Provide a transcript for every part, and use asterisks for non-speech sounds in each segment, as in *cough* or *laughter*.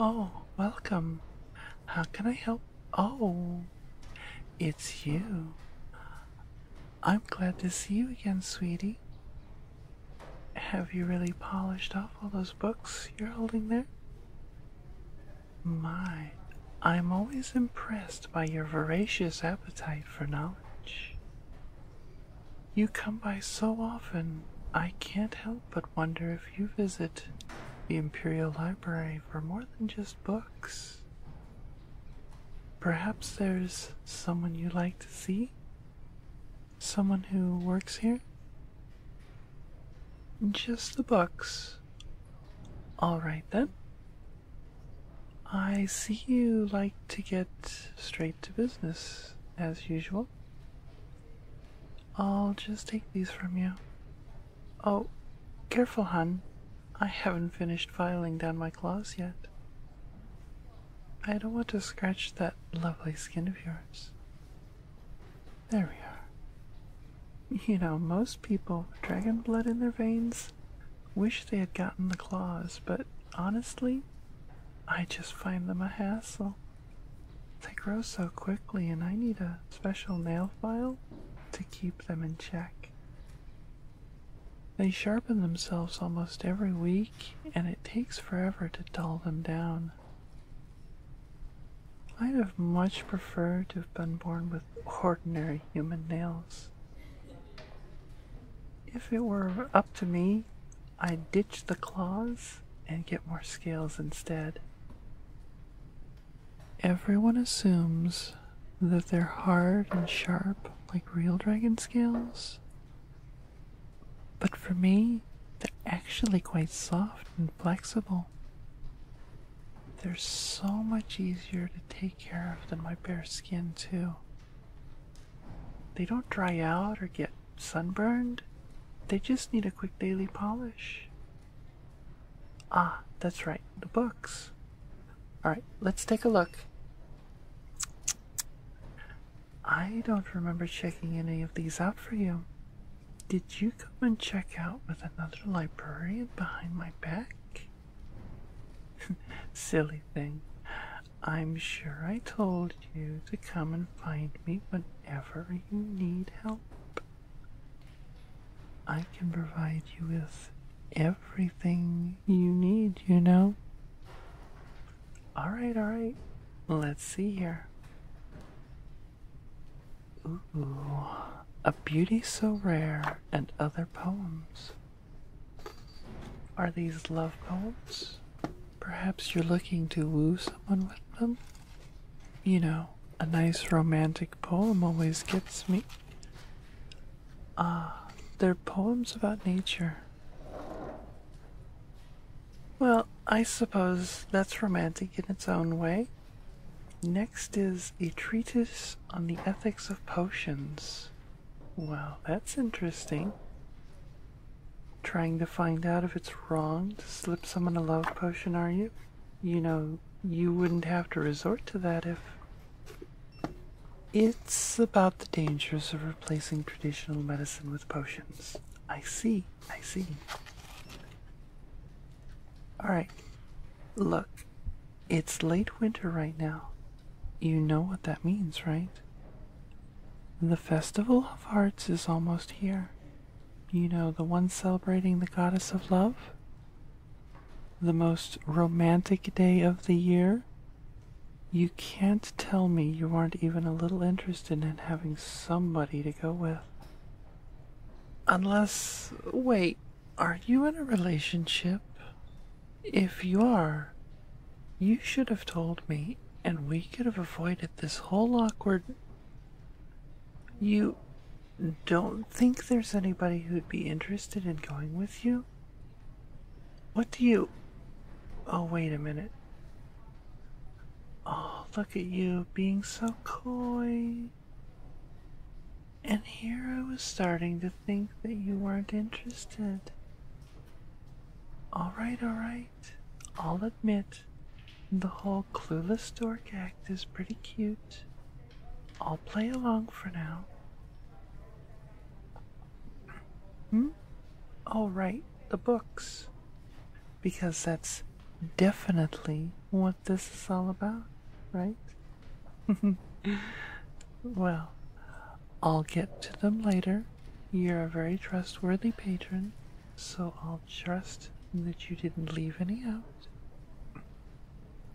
Oh, welcome. How can I help? Oh, it's you. I'm glad to see you again, sweetie. Have you really polished off all those books you're holding there? My, I'm always impressed by your voracious appetite for knowledge. You come by so often, I can't help but wonder if you visit the Imperial Library for more than just books. Perhaps there's someone you would like to see? Someone who works here? Just the books. All right then. I see you like to get straight to business, as usual. I'll just take these from you. Oh, careful, hun. I haven't finished filing down my claws yet. I don't want to scratch that lovely skin of yours. There we are. You know, most people with dragon blood in their veins wish they had gotten the claws, but honestly, I just find them a hassle. They grow so quickly, and I need a special nail file to keep them in check. They sharpen themselves almost every week, and it takes forever to dull them down. I'd have much preferred to have been born with ordinary human nails. If it were up to me, I'd ditch the claws and get more scales instead. Everyone assumes that they're hard and sharp like real dragon scales. But for me, they're actually quite soft and flexible. They're so much easier to take care of than my bare skin, too. They don't dry out or get sunburned, they just need a quick daily polish. Ah, that's right the books. All right, let's take a look. I don't remember checking any of these out for you. Did you come and check out with another librarian behind my back? *laughs* Silly thing. I'm sure I told you to come and find me whenever you need help. I can provide you with everything you need, you know? Alright, alright. Let's see here. Ooh, a beauty so rare and other poems. Are these love poems? Perhaps you're looking to woo someone with them? You know, a nice romantic poem always gets me. Ah, they're poems about nature. Well, I suppose that's romantic in its own way. Next is A Treatise on the Ethics of Potions. Well, that's interesting. Trying to find out if it's wrong to slip someone a love potion, are you? you know, you wouldn't have to resort to that if. It's about the dangers of replacing traditional medicine with potions. I see, I see. Alright, look, it's late winter right now. You know what that means, right? The Festival of Hearts is almost here. You know, the one celebrating the goddess of love? The most romantic day of the year? You can't tell me you aren't even a little interested in having somebody to go with. Unless, wait, are you in a relationship? If you are, you should have told me, and we could have avoided this whole awkward. You don't think there's anybody who'd be interested in going with you. What do you. Oh, wait a minute. Oh, look at you being so coy. And here I was starting to think that you weren't interested. Alright, alright. I'll admit, the whole clueless dork act is pretty cute. I'll play along for now. Hmm? All oh, right, the books. Because that's definitely what this is all about, right? *laughs* well, I'll get to them later. You're a very trustworthy patron, so I'll trust that you didn't leave any out.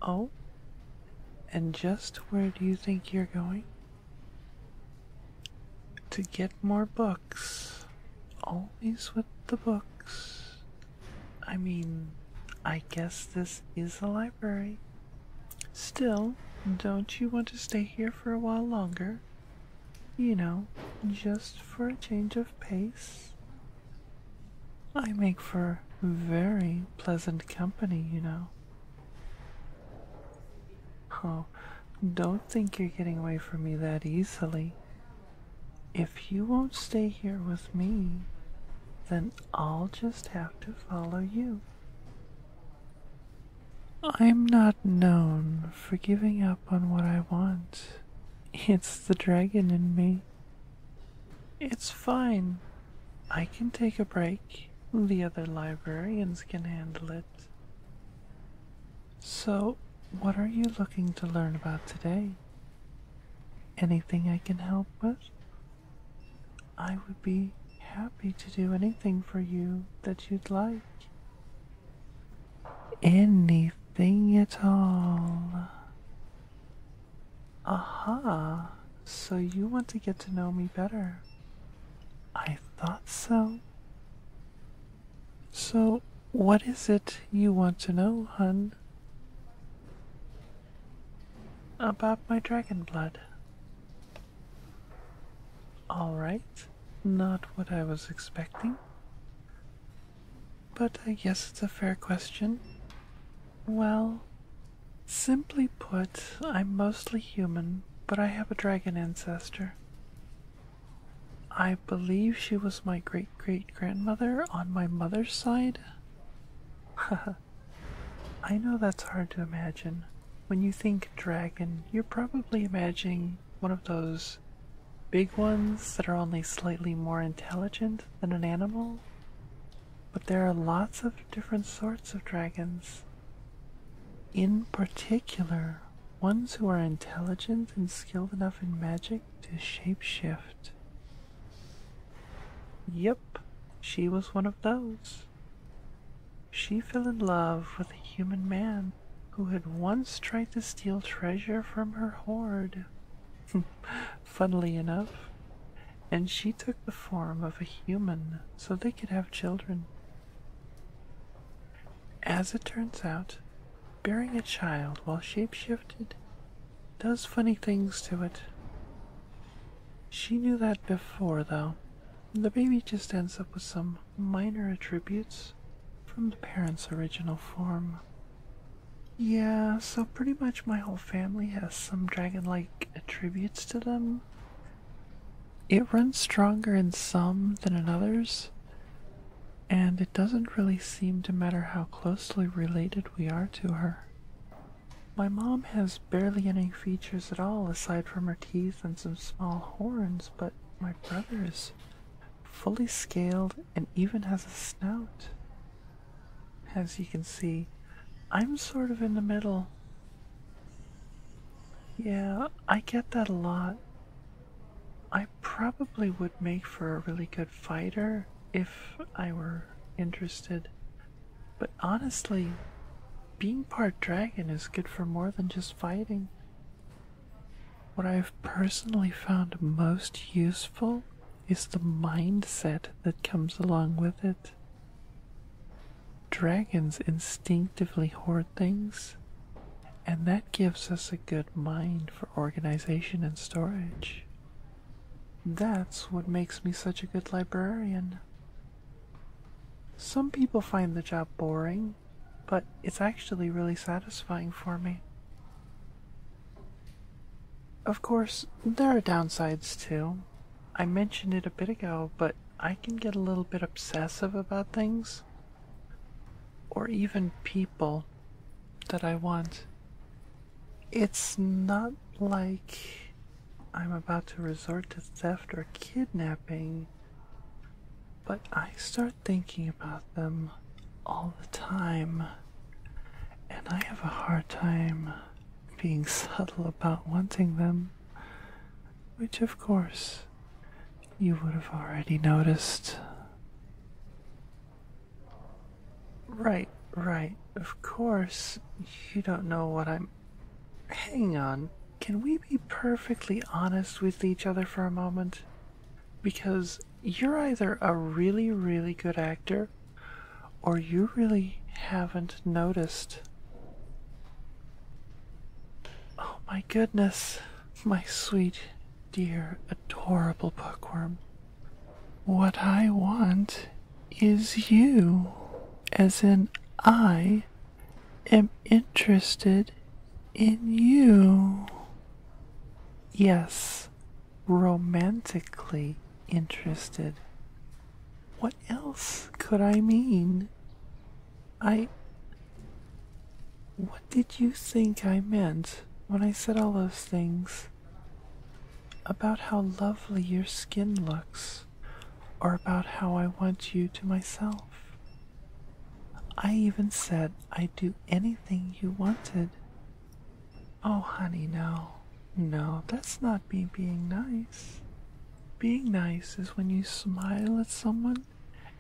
Oh? And just where do you think you're going? To get more books. Always with the books. I mean, I guess this is a library. Still, don't you want to stay here for a while longer? You know, just for a change of pace? I make for very pleasant company, you know. Oh, don't think you're getting away from me that easily. If you won't stay here with me, then I'll just have to follow you. I'm not known for giving up on what I want. It's the dragon in me. It's fine. I can take a break. The other librarians can handle it. So, what are you looking to learn about today? Anything I can help with? I would be happy to do anything for you that you'd like anything at all. Aha, so you want to get to know me better. I thought so. So, what is it you want to know, hun? About my dragon blood. Alright, not what I was expecting. But I guess it's a fair question. Well, simply put, I'm mostly human, but I have a dragon ancestor. I believe she was my great great grandmother on my mother's side. *laughs* I know that's hard to imagine. When you think dragon, you're probably imagining one of those big ones that are only slightly more intelligent than an animal. But there are lots of different sorts of dragons. In particular, ones who are intelligent and skilled enough in magic to shapeshift. Yep, she was one of those. She fell in love with a human man who had once tried to steal treasure from her hoard. *laughs* Funnily enough, and she took the form of a human so they could have children. As it turns out, bearing a child while shapeshifted does funny things to it. She knew that before, though, the baby just ends up with some minor attributes from the parents' original form. Yeah, so pretty much my whole family has some dragon like attributes to them. It runs stronger in some than in others, and it doesn't really seem to matter how closely related we are to her. My mom has barely any features at all aside from her teeth and some small horns, but my brother is fully scaled and even has a snout. As you can see, I'm sort of in the middle. Yeah, I get that a lot. I probably would make for a really good fighter if I were interested. But honestly, being part dragon is good for more than just fighting. What I've personally found most useful is the mindset that comes along with it. Dragons instinctively hoard things, and that gives us a good mind for organization and storage. That's what makes me such a good librarian. Some people find the job boring, but it's actually really satisfying for me. Of course, there are downsides too. I mentioned it a bit ago, but I can get a little bit obsessive about things, or even people that I want. It's not like I'm about to resort to theft or kidnapping, but I start thinking about them all the time, and I have a hard time being *laughs* subtle about wanting them, which of course you would have already noticed. Right, right, of course, you don't know what I'm. Hang on, can we be perfectly honest with each other for a moment? Because you're either a really, really good actor, or you really haven't noticed. Oh my goodness, my sweet, dear, adorable bookworm. What I want is you, as in I am interested in you. Yes, romantically interested. What else could I mean? I. What did you think I meant when I said all those things? About how lovely your skin looks or about how I want you to myself. I even said I'd do anything you wanted. Oh, honey, no. No, that's not me being nice. Being nice is when you smile at someone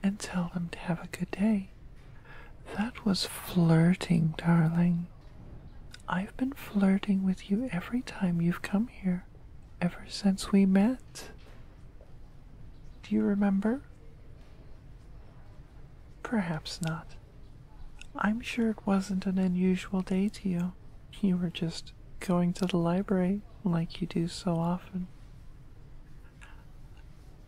and tell them to have a good day. That was flirting, darling. I've been flirting with you every time you've come here ever since we met. Do you remember? Perhaps not. I'm sure it wasn't an unusual day to you. You were just going to the library like you do so often.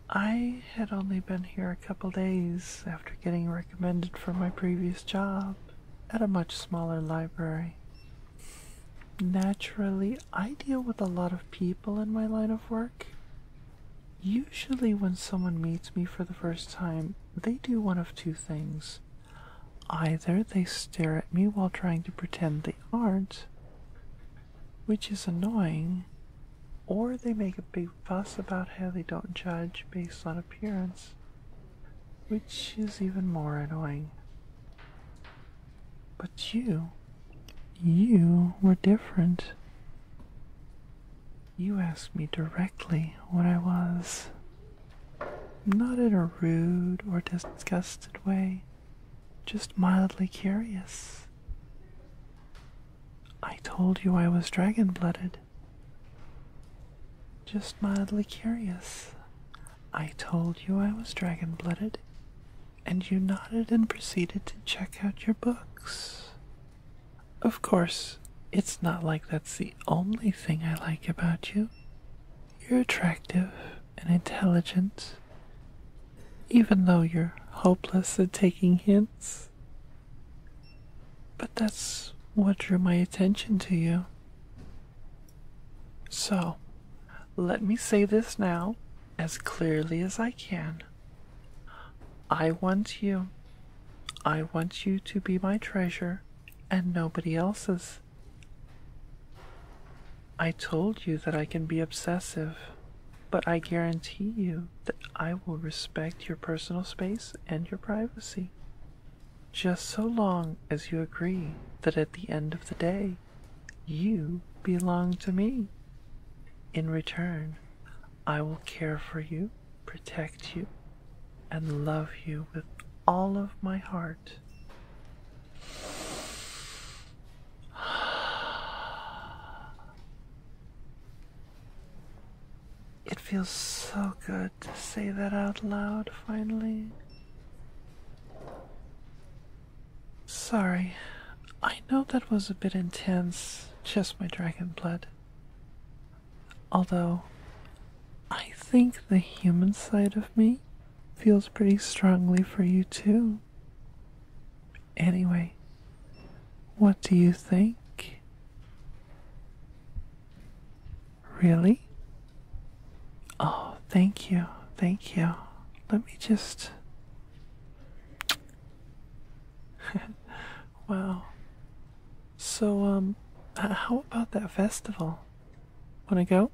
I had only been here a couple days after getting recommended for my previous job, at a much smaller library. Naturally, I deal with a lot of people in my line of work. Usually, when someone meets me for the first time, they do one of two things. Either they stare at me while trying to pretend they aren't, which is annoying, or they make a big fuss about how they don't judge based on appearance which is even more annoying. But you, you were different. You asked me directly what I was. Not in a rude or disgusted way, just mildly curious. I told you I was dragon blooded. Just mildly curious. I told you I was dragon blooded, and you nodded and proceeded to check out your books. Of course, it's not like that's the only thing I like about you. You're attractive and intelligent, even though you're hopeless at taking hints. But that's what drew my attention to you. So, let me say this now as clearly as I can. I want you. I want you to be my treasure and nobody else's. I told you that I can be obsessive, but I guarantee you that I will respect your personal space and your privacy, just so long as you agree that at the end of the day, you belong to me. In return, I will care for you, protect you, and love you with all of my heart. It feels so good to say that out loud finally. Sorry, I know that was a bit intense, just my dragon blood. Although, I think the human side of me feels pretty strongly for you too. Anyway, what do you think? Really? Oh, thank you, thank you. Let me just. *laughs* wow. So, um, how about that festival? Wanna go?